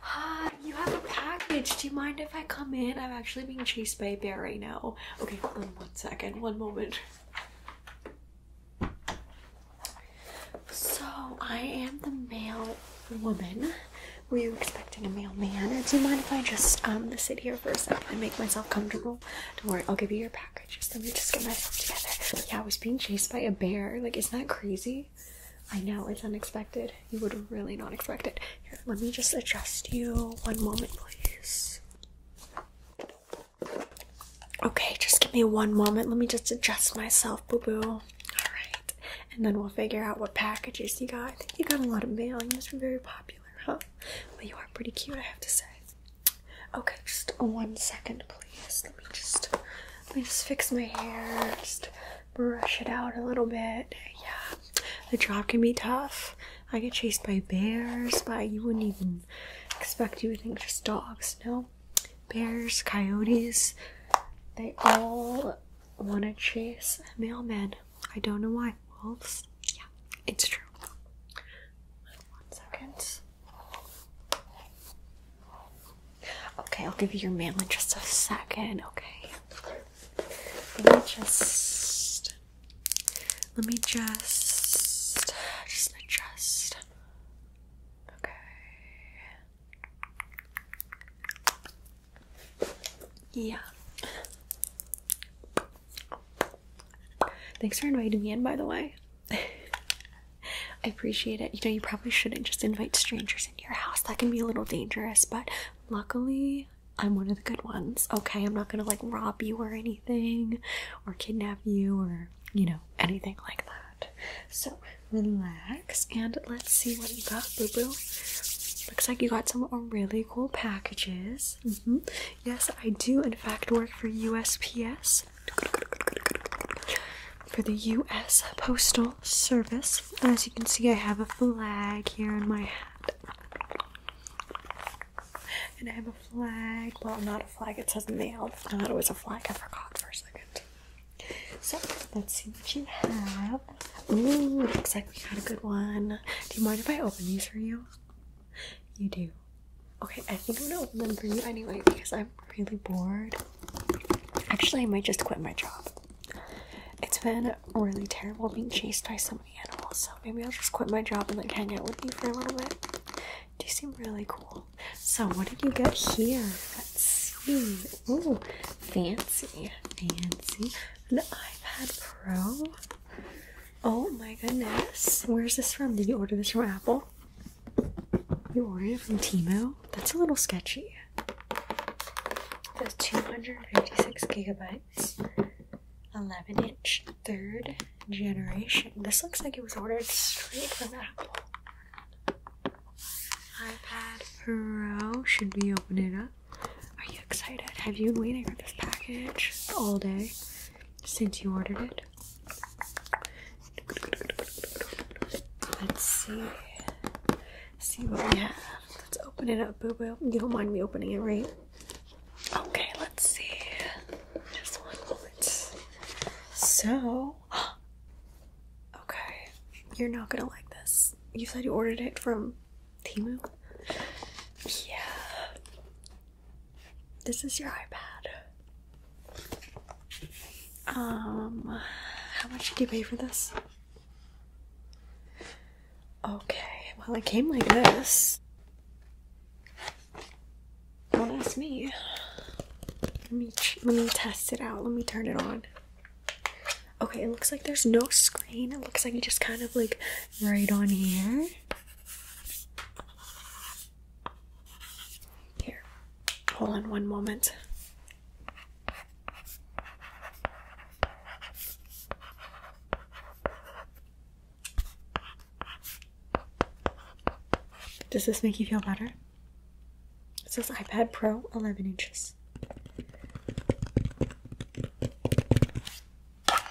Hi, you have a package. Do you mind if I come in? I'm actually being chased by a bear right now. Okay, hold on one second, one moment. So, I am the mail woman. Were you expecting a mailman? Do you mind if I just um sit here for a second and make myself comfortable? Don't worry, I'll give you your package. Just let me just get myself together. Yeah, I was being chased by a bear. Like, isn't that crazy? I know it's unexpected. You would really not expect it. let me just adjust you. One moment, please. Okay, just give me one moment. Let me just adjust myself, boo boo. Alright, and then we'll figure out what packages you got. I think you got a lot of mail. You must be very popular, huh? But you are pretty cute, I have to say. Okay, just one second, please. Let me just let me just fix my hair. Just brush it out a little bit. Yeah. The job can be tough. I get chased by bears, but you wouldn't even expect you would think just dogs, no? Bears, coyotes, they all wanna chase mailmen. I don't know why. Wolves? Yeah, it's true. One second. Okay, I'll give you your mail in just a second. Okay. Let me just let me just just adjust. Okay. Yeah. Thanks for inviting me in, by the way. I appreciate it. You know, you probably shouldn't just invite strangers into your house. That can be a little dangerous, but luckily I'm one of the good ones. Okay, I'm not gonna like rob you or anything or kidnap you or you know, anything like that. So relax and let's see what you got, boo boo. Looks like you got some really cool packages. Mm-hmm. Yes, I do, in fact, work for USPS, for the US Postal Service. As you can see, I have a flag here in my hat. And I have a flag. Well, not a flag, it says mail. I thought was a flag, I forgot for a second. So, let's see what you have. Ooh, looks like we got a good one. Do you mind if I open these for you? You do. Okay, I think I'm gonna open them for you anyway because I am really bored. Actually, I might just quit my job. It's been really terrible being chased by so many animals, so maybe I'll just quit my job and like hang out with you for a little bit. Do seem really cool. So, what did you get here? Let's see. Ooh, fancy, fancy. An iPad Pro. Oh my goodness. Where's this from? Did you order this from Apple? You ordered it from Timo? That's a little sketchy. That's 256 gigabytes, 11 inch, third generation. This looks like it was ordered straight from Apple. iPad Pro, should we open it up? Are you excited? Have you been waiting for this package all day since you ordered it? Let's see. See what we have. Let's open it up, boo boo. You don't mind me opening it, right? Okay, let's see. Just one moment. So, okay, you're not gonna like this. You said you ordered it from Timu. Yeah. This is your iPad. Um, how much did you pay for this? Okay, well, it came like this. Don't ask me. Let me let me test it out. Let me turn it on. Okay, it looks like there's no screen. It looks like it just kind of like right on here. Here, hold on one moment. Does this make you feel better? It says iPad Pro 11 inches.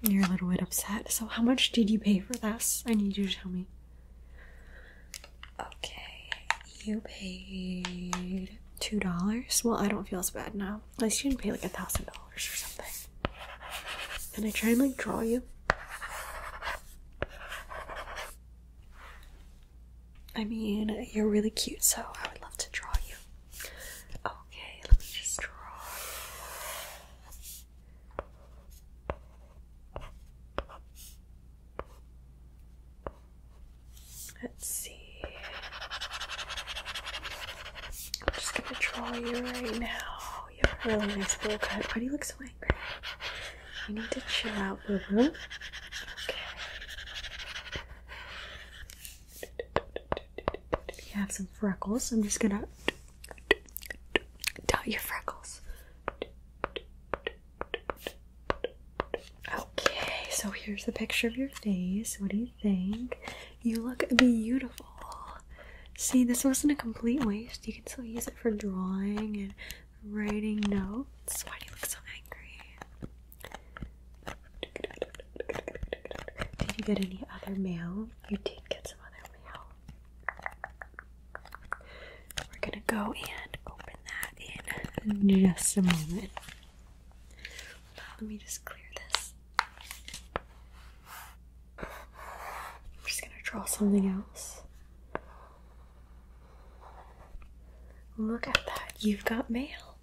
You're a little bit upset. So, how much did you pay for this? I need you to tell me. Okay, you paid two dollars. Well, I don't feel as bad now. At least you didn't pay like a thousand dollars or something. Can I try and like draw you? I mean, you're really cute, so I would love to draw you. Okay, let me just draw. Let's see. I'm just gonna draw you right now. You have a really nice little cut. Why do you look so angry? You need to chill out, boo boo. Okay. You have some freckles. I'm just gonna dot your freckles. Okay, so here's the picture of your face. What do you think? You look beautiful. See, this wasn't a complete waste. You can still use it for drawing and writing notes. Why do you look so angry? Did you get any other mail? You did get some other mail. We're gonna go and open that in just a moment. Let me just clear this. I'm just gonna draw something else. Look at that. You've got mail.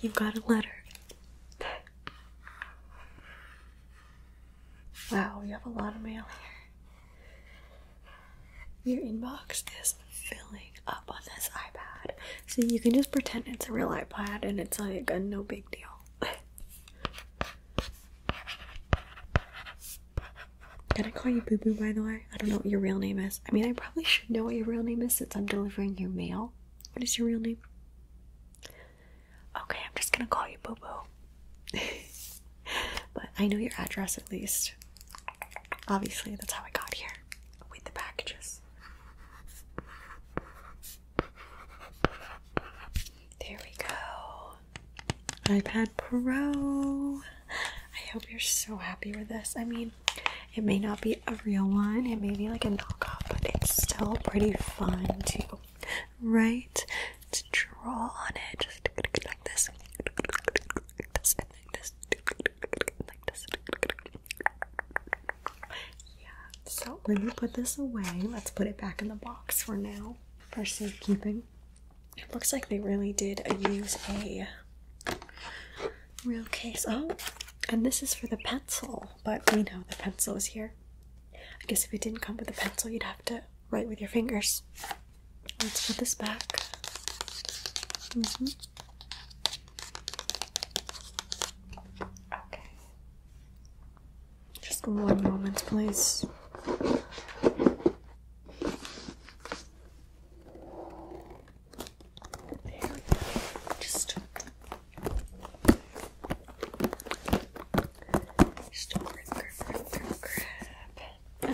You've got a letter. Wow, we have a lot of mail here. Your inbox is filling up on this iPad. So you can just pretend it's a real iPad and it's like a no big deal. Can I call you Boo Boo, by the way? I don't know what your real name is. I mean, I probably should know what your real name is since I'm delivering your mail. What is your real name? Okay, I'm just gonna call you Boo Boo. but I know your address at least. Obviously, that's how I got here with the packages. There we go. iPad Pro. I hope you're so happy with this. I mean, it may not be a real one, it may be like a knockoff, but it's still pretty fun too right? Just draw on it, Yeah. So let me put this away. Let's put it back in the box for now for safekeeping. It looks like they really did use a real case. Oh, and this is for the pencil, but we know the pencil is here. I guess if it didn't come with a pencil, you'd have to write with your fingers. Let's put this back. Mm-hmm. Okay. Just one moment, please. There we go. Just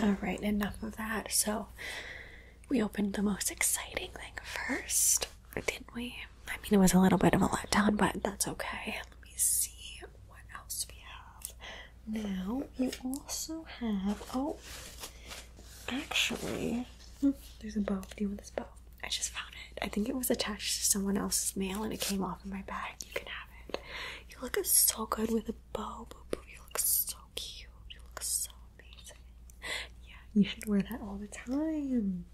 all right, enough of that. So, we opened the most exciting thing first, didn't we? I mean, it was a little bit of a letdown, but that's okay. Let me see what else we have. Now, you also have. Oh, actually, hmm, there's a bow. Do you want this bow? I just found it. I think it was attached to someone else's mail and it came off in my bag. You can have it. You look so good with a bow, boo boo. You look so cute. You look so amazing. Yeah, you should wear that all the time.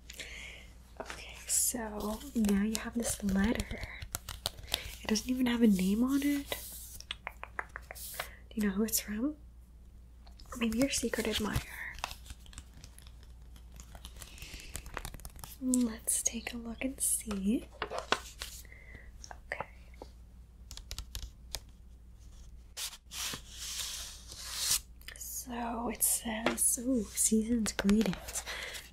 Okay, so now you have this letter. It doesn't even have a name on it. Do you know who it's from? Maybe your secret admirer. Let's take a look and see. Okay. So it says, ooh, season's greetings.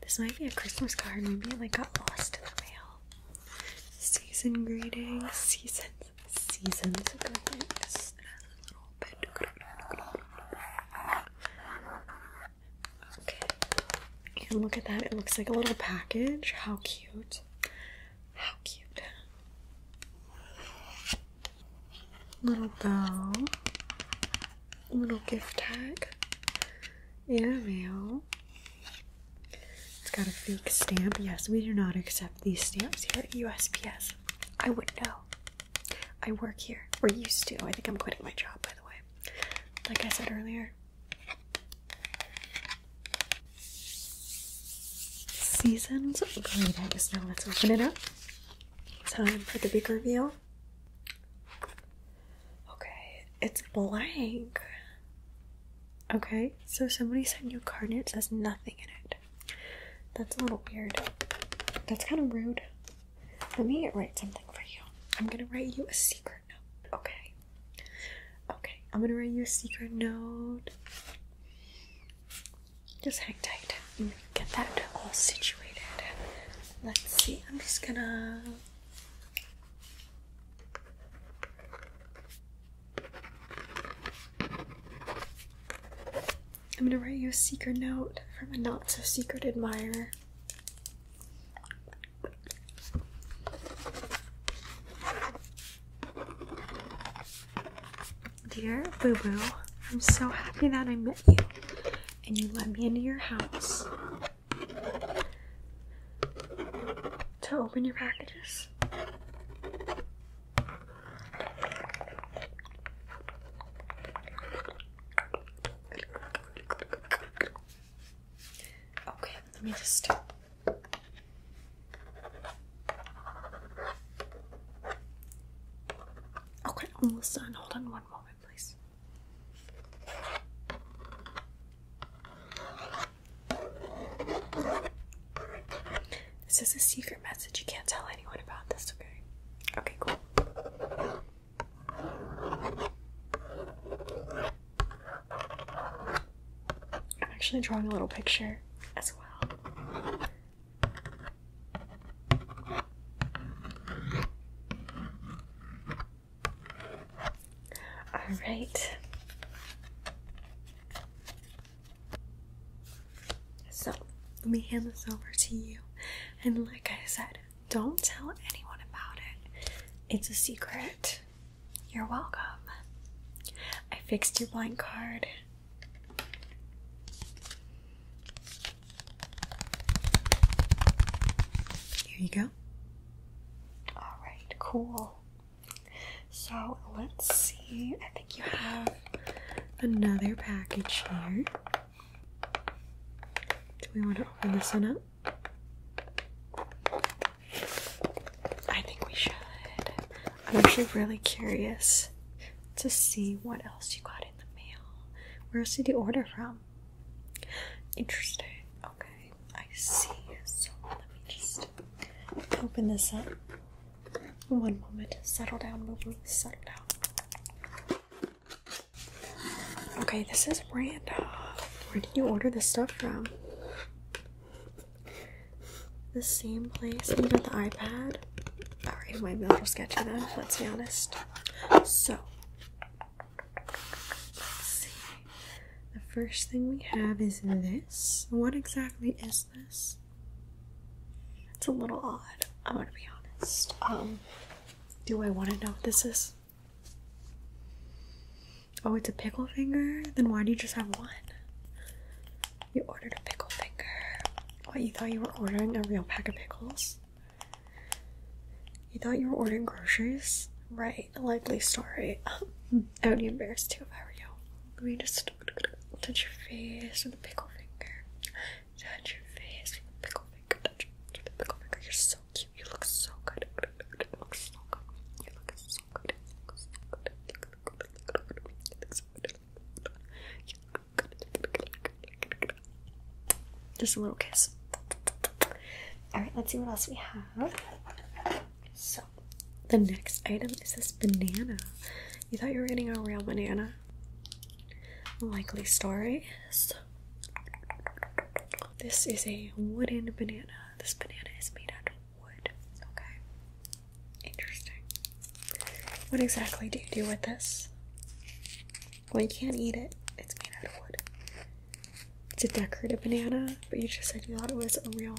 This might be a Christmas card. Maybe it like got lost in the mail. Season greetings, seasons, seasons greetings. It has a little bit. Okay. And look at that. It looks like a little package. How cute. How cute. Little bow. Little gift tag. In It's got a fake stamp. Yes, we do not accept these stamps here at USPS. I would know. I work here. We're used to. I think I'm quitting my job, by the way. Like I said earlier. Seasons oh, greetings. Now let's open it up. Time for the big reveal. Okay, it's blank. Okay, so somebody sent you a card and it says nothing in it. That's a little weird. That's kind of rude. Let me write something for you. I'm gonna write you a secret note, okay? Okay, I'm gonna write you a secret note. Just hang tight. I'm gonna get that all situated. Let's see, I'm just gonna. I'm gonna write you a secret note from a not so secret admirer. Dear Boo Boo, I'm so happy that I met you and you let me into your house to open your packages. Okay, let me just. Okay, almost Hold on one moment, please. This is a secret message. You can't tell anyone about this, okay? Okay, cool. I'm actually drawing a little picture as well. All right. So, let me hand this over to you. And like I said, don't tell anyone about it. It's a secret. You're welcome. I fixed your blind card. Here you go. Alright, cool. So let's see. I think you have another package here. Do we want to open this one up? I think we should. I'm actually really curious to see what else you got in the mail. Where did you order from? Interesting. Okay, I see. So let me just open this up. One moment. Settle down, boo Settle down. Okay, this is random. Where did you order this stuff from? The same place you got the iPad? Alright, my mail was sketchy then, let's be honest. So, see. The first thing we have is this. What exactly is this? It's a little odd, I'm gonna be honest. Um, do I want to know what this is? Oh, it's a pickle finger? Then why do you just have one? You ordered a pickle finger. What, you thought you were ordering a real pack of pickles? You thought you were ordering groceries? Right, a likely story. I would be embarrassed too if I were you. Let me just just touch your face with a pickle finger. Touch your face with a pickle finger. Touch your with a pickle finger. You're so cute. You look so good. You look so good. You look so good. You look so good. You look good. You look so good. You look good. Just a little kiss. Alright, let's see what else we have. So, the next item is this banana. You thought you were getting a real banana? Likely story this is a wooden banana. This banana is made out of wood. Okay. Interesting. What exactly do you do with this? Well, you can't eat it. It's made out of wood. It's a decorative banana, but you just said you thought it was a real.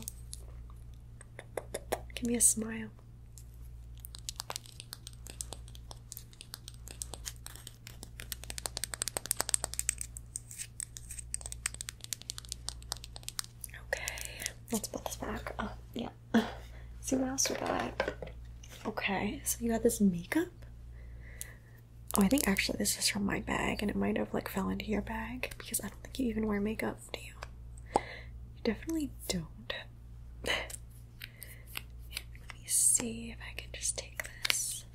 Give me a smile. Okay, let's put this back up. Yeah. See what else we got. Okay, so you got this makeup. Oh, I think actually this is from my bag and it might have like fell into your bag because I don't think you even wear makeup you. definitely don't. let me see if I can just take this.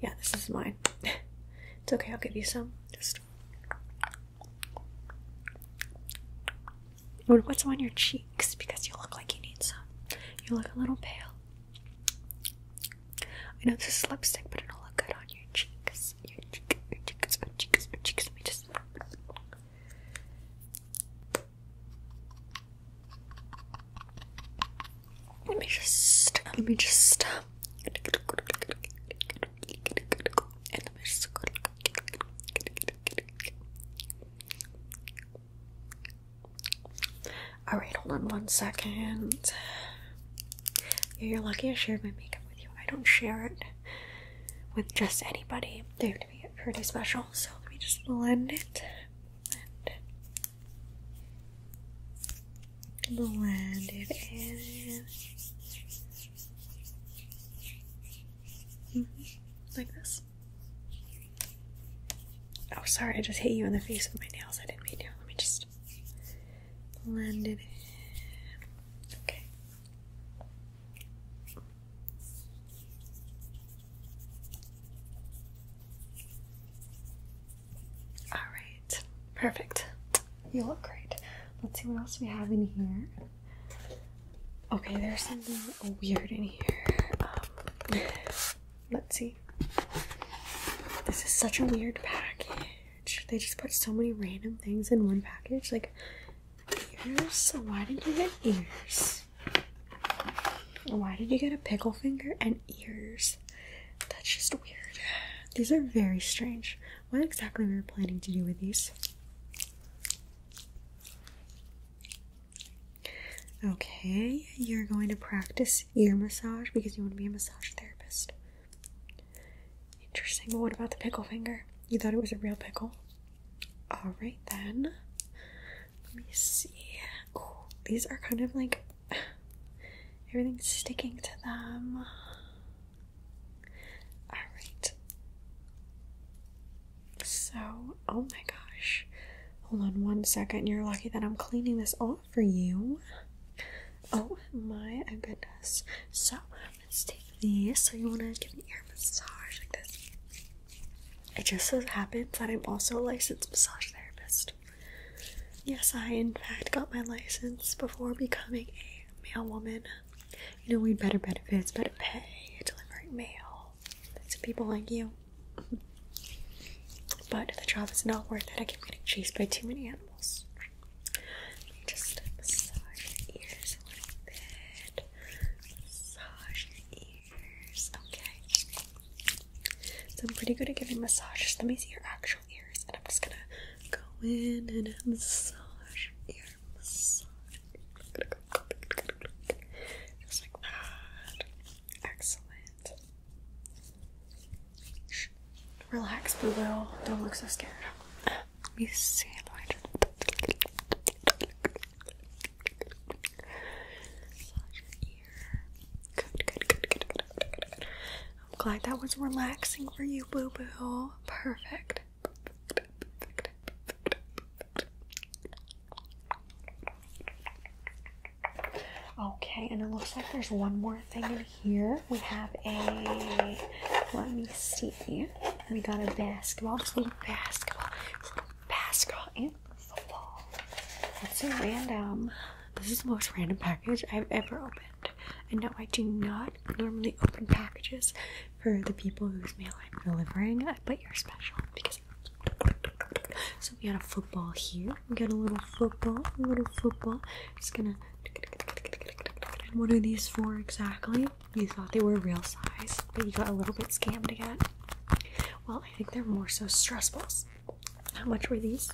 Yeah, this is mine. it's okay, I'll give you some. Just. What's on your cheeks? Because you look like you need some. You look a little pale. I know this is lipstick, but it'll look good on your cheeks. Let me just. let me just. Alright, hold on one second. you're lucky I shared my makeup with you. I don't share it with just anybody. They have to be pretty special. So let me just blend it. Blend. it mm-hmm. Like this. Oh, sorry, I just hit you in the face with my nails. I didn't mean to. Let me just Blended. Okay. All right, perfect. You look great. Let's see what else we have in here. Okay, there's something weird in here. Um, let's see this is such a weird package. They just put so many random things in one package. Like ears. So why did you get ears? Why did you get a pickle finger and ears? That's just weird. These are very strange. What exactly were you planning to do with these? Okay, you're going to practice ear massage because you want to be a massage therapist. Interesting. But what about the pickle finger? You thought it was a real pickle? Alright then. Let me see. Oh, these are kind of like everything's sticking to them. Alright. So, oh my gosh. Hold on one second. You're lucky that I'm cleaning this off for you. Oh my goodness. So let's take these. So you wanna give me ear massage like this. It just so happens that I'm also a licensed massage therapist. Yes, I in fact got my license before becoming a male woman. You know, we better benefits, better pay, delivering mail to people like you. But the job is not worth it. I keep getting chased by too many animals. just massage your ears a little bit. Massage your ears. Okay. So I'm pretty good at giving massages. Let me see your actual ears, and I'm just gonna go in and massage your ear. Just like that. Excellent. Relax, boo boo. Don't look so scared. Let me see. Massage your ear. Good, good, good, good, good, good. I'm glad that was relaxing for you, boo boo. Perfect. Okay, and it looks like there's one more thing in here. We have a let me see. We got a basketball, this little basketball, this little basketball and football. That's a random. This is the most random package I've ever opened. And no, I do not normally open packages for the people whose mail I'm delivering, but you're special because so we got a football here. We got a little football, a little football. Just gonna. What are these for exactly? You thought they were real size, but you got a little bit scammed again. Well, I think they're more so stress balls. How much were these?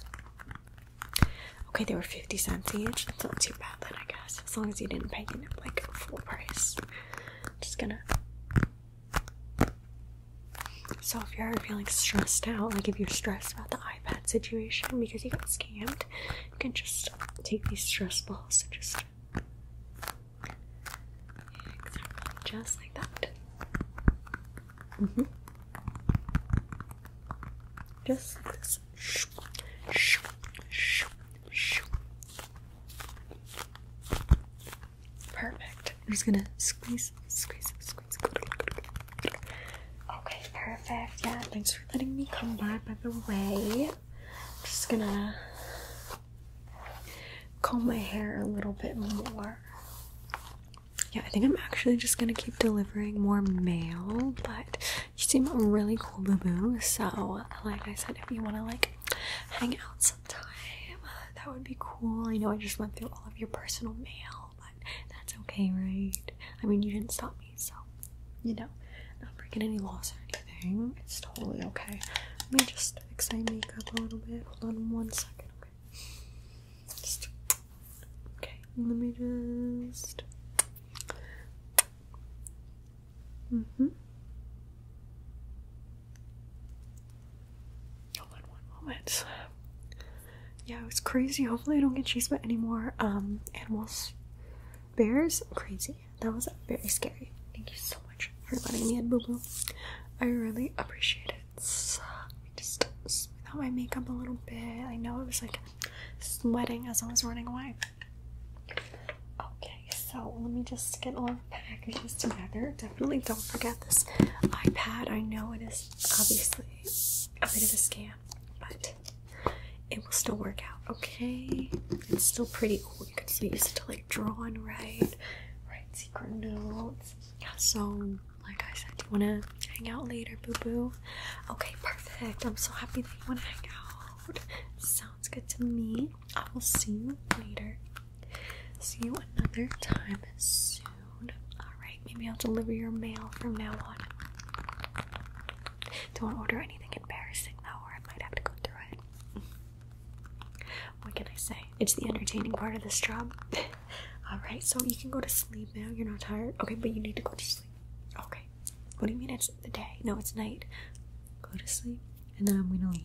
Okay, they were 50 cents each. That's not too bad then, I guess. As long as you didn't pay it like full price. Just gonna so if you're ever feeling stressed out, like if you're stressed about the iPad situation because you got scammed, you can just take these stress balls and just just like that. Mm -hmm. Just like this. Perfect. I'm just gonna squeeze, squeeze, squeeze. Okay, perfect. Yeah, thanks for letting me come by, by the way. I'm just gonna comb my hair a little bit more. Yeah, I think I'm actually just gonna keep delivering more mail, but you seem really cool, boo boo. So, like I said, if you wanna like hang out sometime. Uh, that would be cool. I know I just went through all of your personal mail, but that's okay, right? I mean, you didn't stop me, so you know, not breaking any laws or anything. It's totally okay. Let me just fix my makeup a little bit. Hold on one second, okay? okay, let me just. hmm. Hold on one moment. Yeah, it was crazy. Hopefully I don't get chased by any um animals. Bears? Crazy. That was very scary. Thank you so much for letting me in, boo-boo. I really appreciate it. So, let me just smooth out my makeup a little bit. I know I was like sweating as I was running away. Okay, so let me just get all packages together. Definitely don't forget this iPad. I know it is obviously a bit of a scam, but it will still work out, okay? It's still pretty cool. You can still use it like draw and write, write secret notes. So, like I said, do you want to hang out later, boo boo? Okay, perfect. I'm so happy that you want to hang out. Sounds good to me. I will see you later. See you another time soon. Alright, maybe I'll deliver your mail from now on. Don't order anything embarrassing though, or I might have to go through it. What can I say? It's the entertaining part of this job. Alright, so you can go to sleep now. You're not tired. Okay, but you need to go to sleep. Okay. What do you mean it's the day? No, it's night. Go to sleep, and then I'm gonna leave.